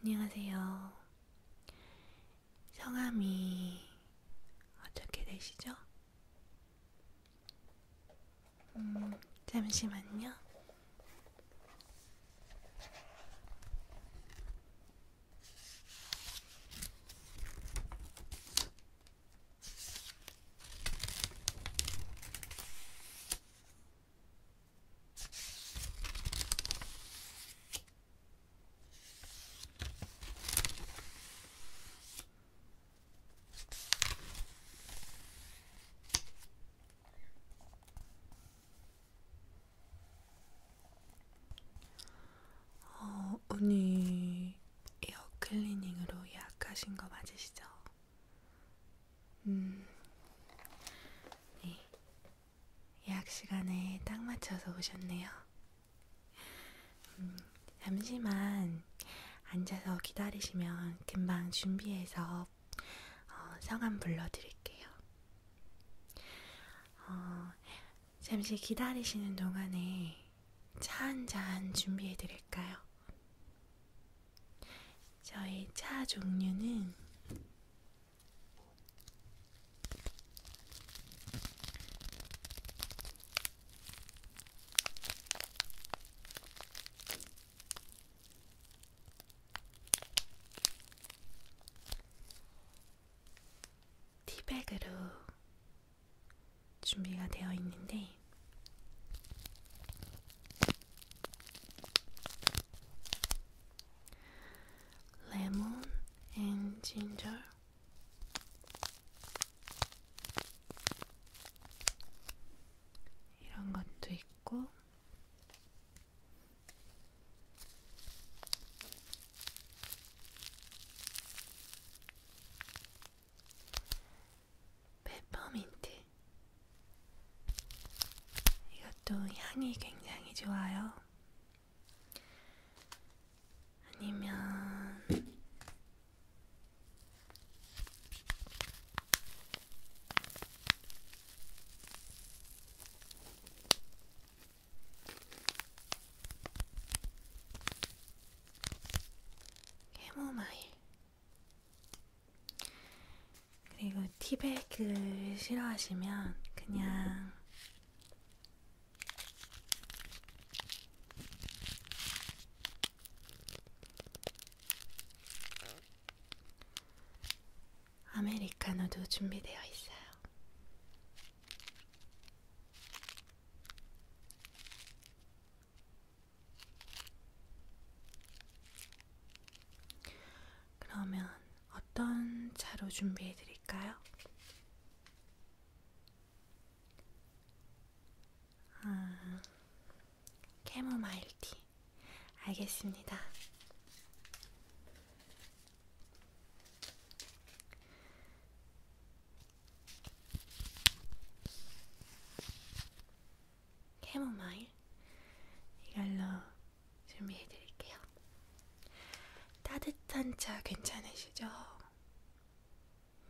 안녕하세요. 성함이 어떻게 되시죠? 음, 잠시만요. 어, 오늘 에어 클리닝으로 예약하신 거 맞으시죠? 음, 네. 예약 시간에 딱 맞춰서 오셨네요. 음, 잠시만 앉아서 기다리시면 금방 준비해서 어, 성함 불러드릴게요. 어, 잠시 기다리시는 동안에 차한잔 준비해 드릴까요? 저희 차 종류는 티백으로 준비가 되어 있는데 레몬 앤 진저 이런 것도 있고 페퍼민트. 이것도 향이 굉장히 좋아요. 아니면 캐모마일. 그리고 티백을 싫어하시면 그냥 아메리카노도 준비되어 있어요. 그러면 어떤 차로 준비해 드릴까요? 아, 캐모마일티. 알겠습니다. 캐모마일 이걸로 준비해드릴게요. 따뜻한 차 괜찮으시죠?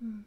음.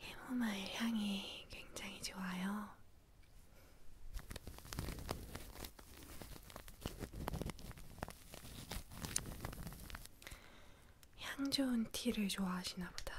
캐모마일 향이 굉장히 좋아요. 향 좋은 티를 좋아하시나 보다.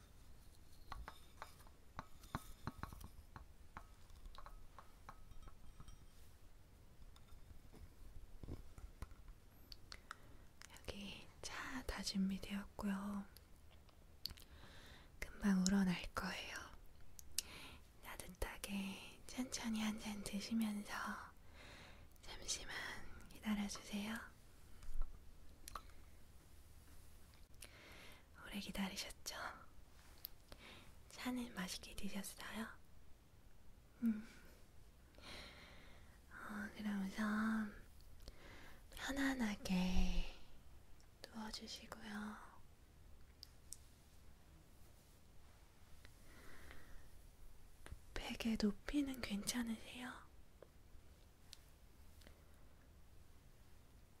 여기 차 다 준비되었고요. 금방 우러날 거예요. 따뜻하게 천천히 한 잔 드시면서 잠시만 기다려주세요. 오래 기다리셨죠? 차는 맛있게 드셨어요? 음. 어, 그럼 우선 편안하게 누워주시고요. 베개 높이는 괜찮으세요?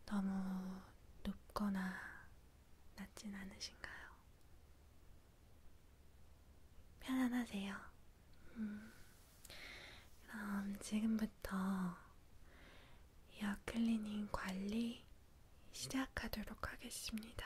너무 높거나 낮진 않으신가요? 편안하세요. 음, 그럼 지금부터 이어 클리닝 관리 시작하도록 하겠습니다.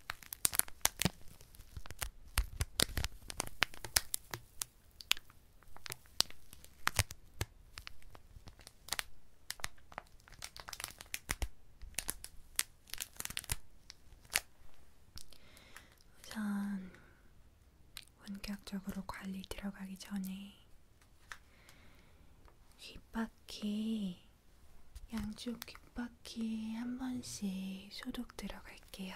우선 본격적으로 관리 들어가기 전에 귓바퀴 양쪽 귓바퀴 바퀴 한 번씩 소독 들어갈게요.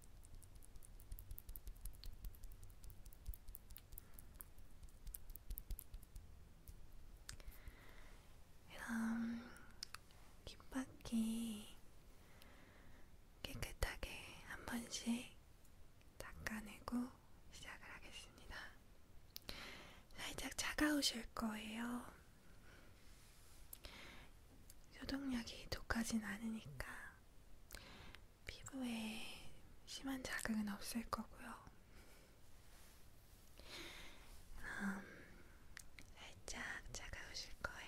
그럼 귓바퀴 깨끗하게 한 번씩 닦아내고 시작을 하겠습니다. 살짝 차가우실 거예요. 소독약이 독하진 않으니까 피부에 심한 자극은 없을 거고요. 음, 살짝 차가우실 거예요.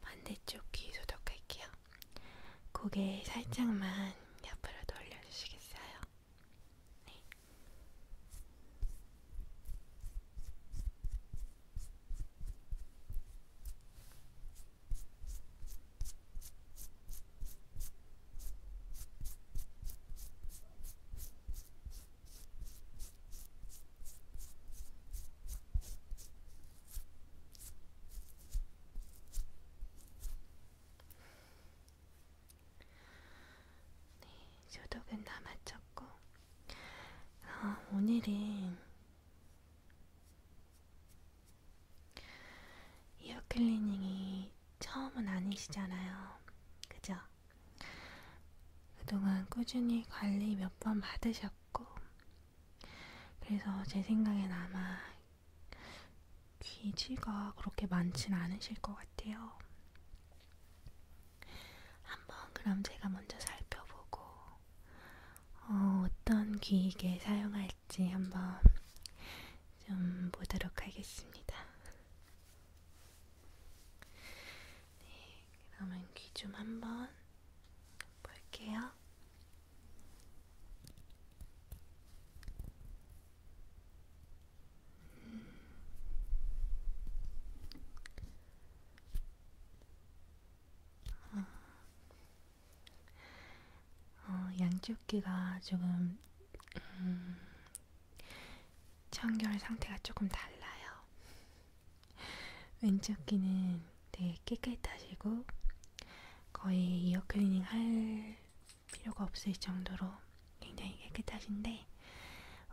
반대쪽 귀 소독할게요. 고개 살짝만 옆으로 돌려주시겠어요? 네. 네, 소독은 다 마쳤고 어, 오늘은 이어 클리닝이 처음은 아니시잖아요. 그죠? 그동안 꾸준히 관리 몇 번 받으셨고 그래서 제 생각엔 아마 기지가 그렇게 많진 않으실 것 같아요. 한번 그럼 제가 먼저 살펴보고 어, 어떤 기기에 사용할지 한번 좀 보도록 하겠습니다. 네, 그러면 귀 좀 한번 볼게요. 어, 어 양쪽 귀가 조금 음, 청결 상태가 조금 달라요. 왼쪽 귀는 되게 깨끗하시고 거의 이어 클리닝 할 필요가 없을 정도로 굉장히 깨끗하신데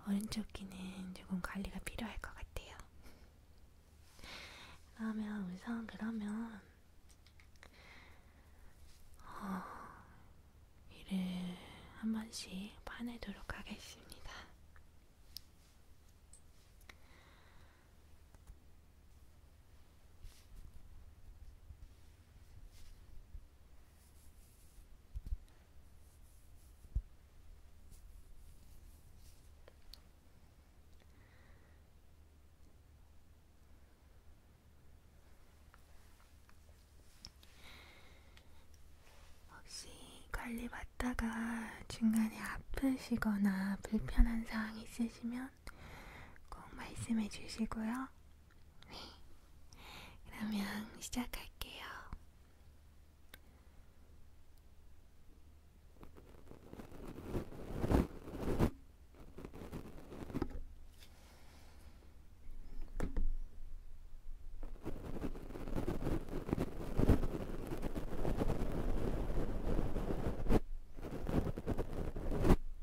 오른쪽 귀는 조금 관리가 필요할 것 같아요. 그러면 우선 그러면 어, 이를 한 번씩 파내도록 하겠습니다. 혹시 관리 받다가 중간에 아프시거나 불편한 사항 있으시면 있으면 꼭 말씀해 주시고요. 네. 그러면 시작할게요.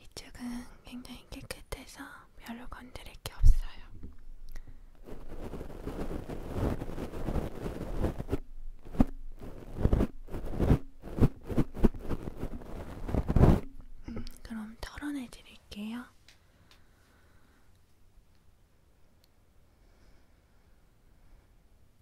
이쪽은 굉장히 깨끗해서 별로 건드릴 게 없어요. 음, 그럼 털어내 드릴게요.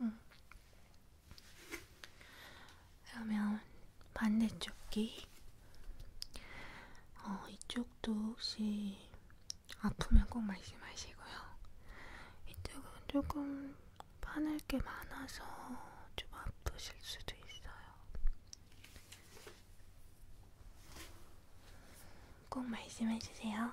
음. 그러면 반대쪽 귀, 어, 이쪽도 혹시 아프면 꼭 말씀하시고요. 이쪽은 조금 파낼 게 많아서 좀 아프실 수도 있어요. 꼭 말씀해 주세요.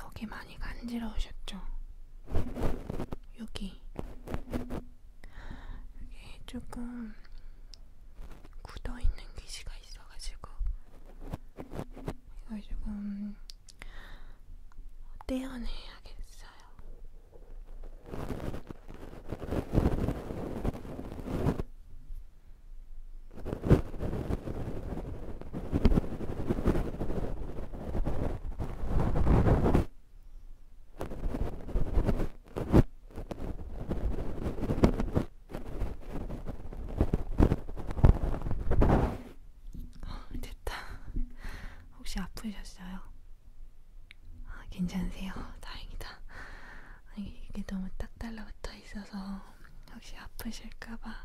여기 많이 간지러우셨죠? 여기 여기 조금 굳어있는 귀지가 수가 있어가지고 이걸 조금 떼어내야겠어요. 어, 됐다. 혹시 아프셨어요? 아, 괜찮으세요? 다행이다. 아니, 이게 너무 딱 달라붙어 있어서 혹시 아프실까봐.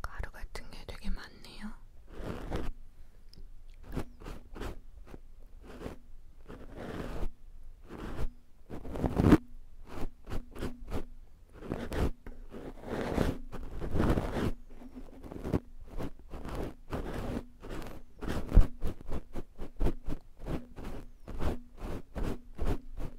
가루 같은 게 되게 많네요.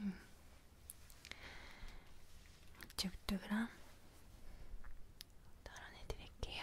음. 이쪽도 그럼 덜어내드릴게요.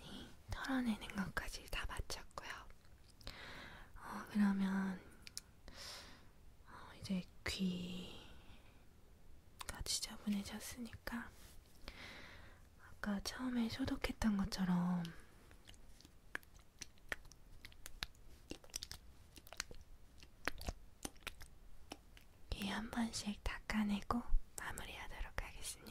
네, 털어내는 것까지 다 마쳤고요. 어, 그러면 어, 이제 귀가 지저분해졌으니까 아까 처음에 소독했던 것처럼 귀한 번씩 닦아내고 마무리하도록 하겠습니다.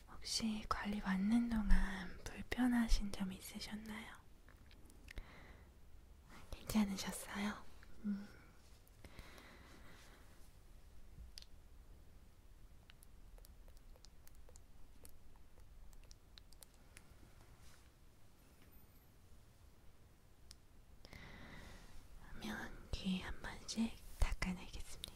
혹시 관리 받는 동안 불편하신 점 있으셨나요? 괜찮으셨어요? 음. 그러면 귀한 번씩 닦아내겠습니다.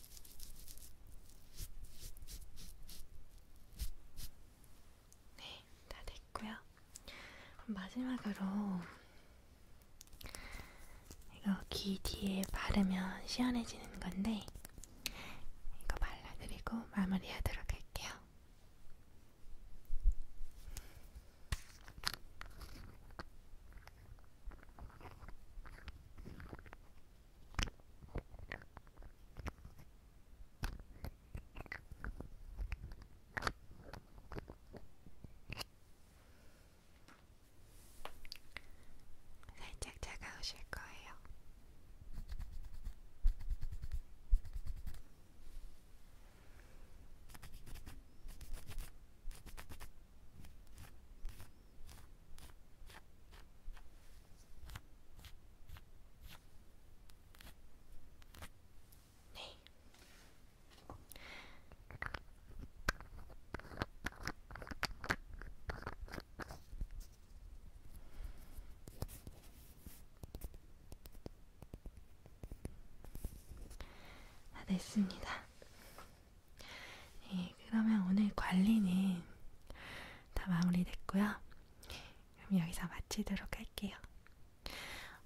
네, 다 됐고요. 그럼 마지막으로 이거 귀 뒤에 바르면 시원해지는 건데 이거 발라드리고 마무리하도록 할게요. 살짝 차가우실 거예요. 네. 다 아, 됐습니다. 네, 그러면 오늘 관리는 다 마무리됐고요. 그럼 여기서 마치도록 할게요.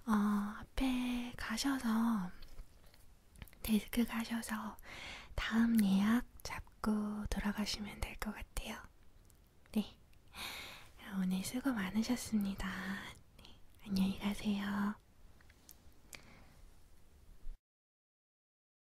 어, 앞에 가셔서 데스크 가셔서 다음 예약 잡고 돌아가시면 될 것 같아요. 네. 오늘 수고 많으셨습니다. 네, 안녕히 가세요.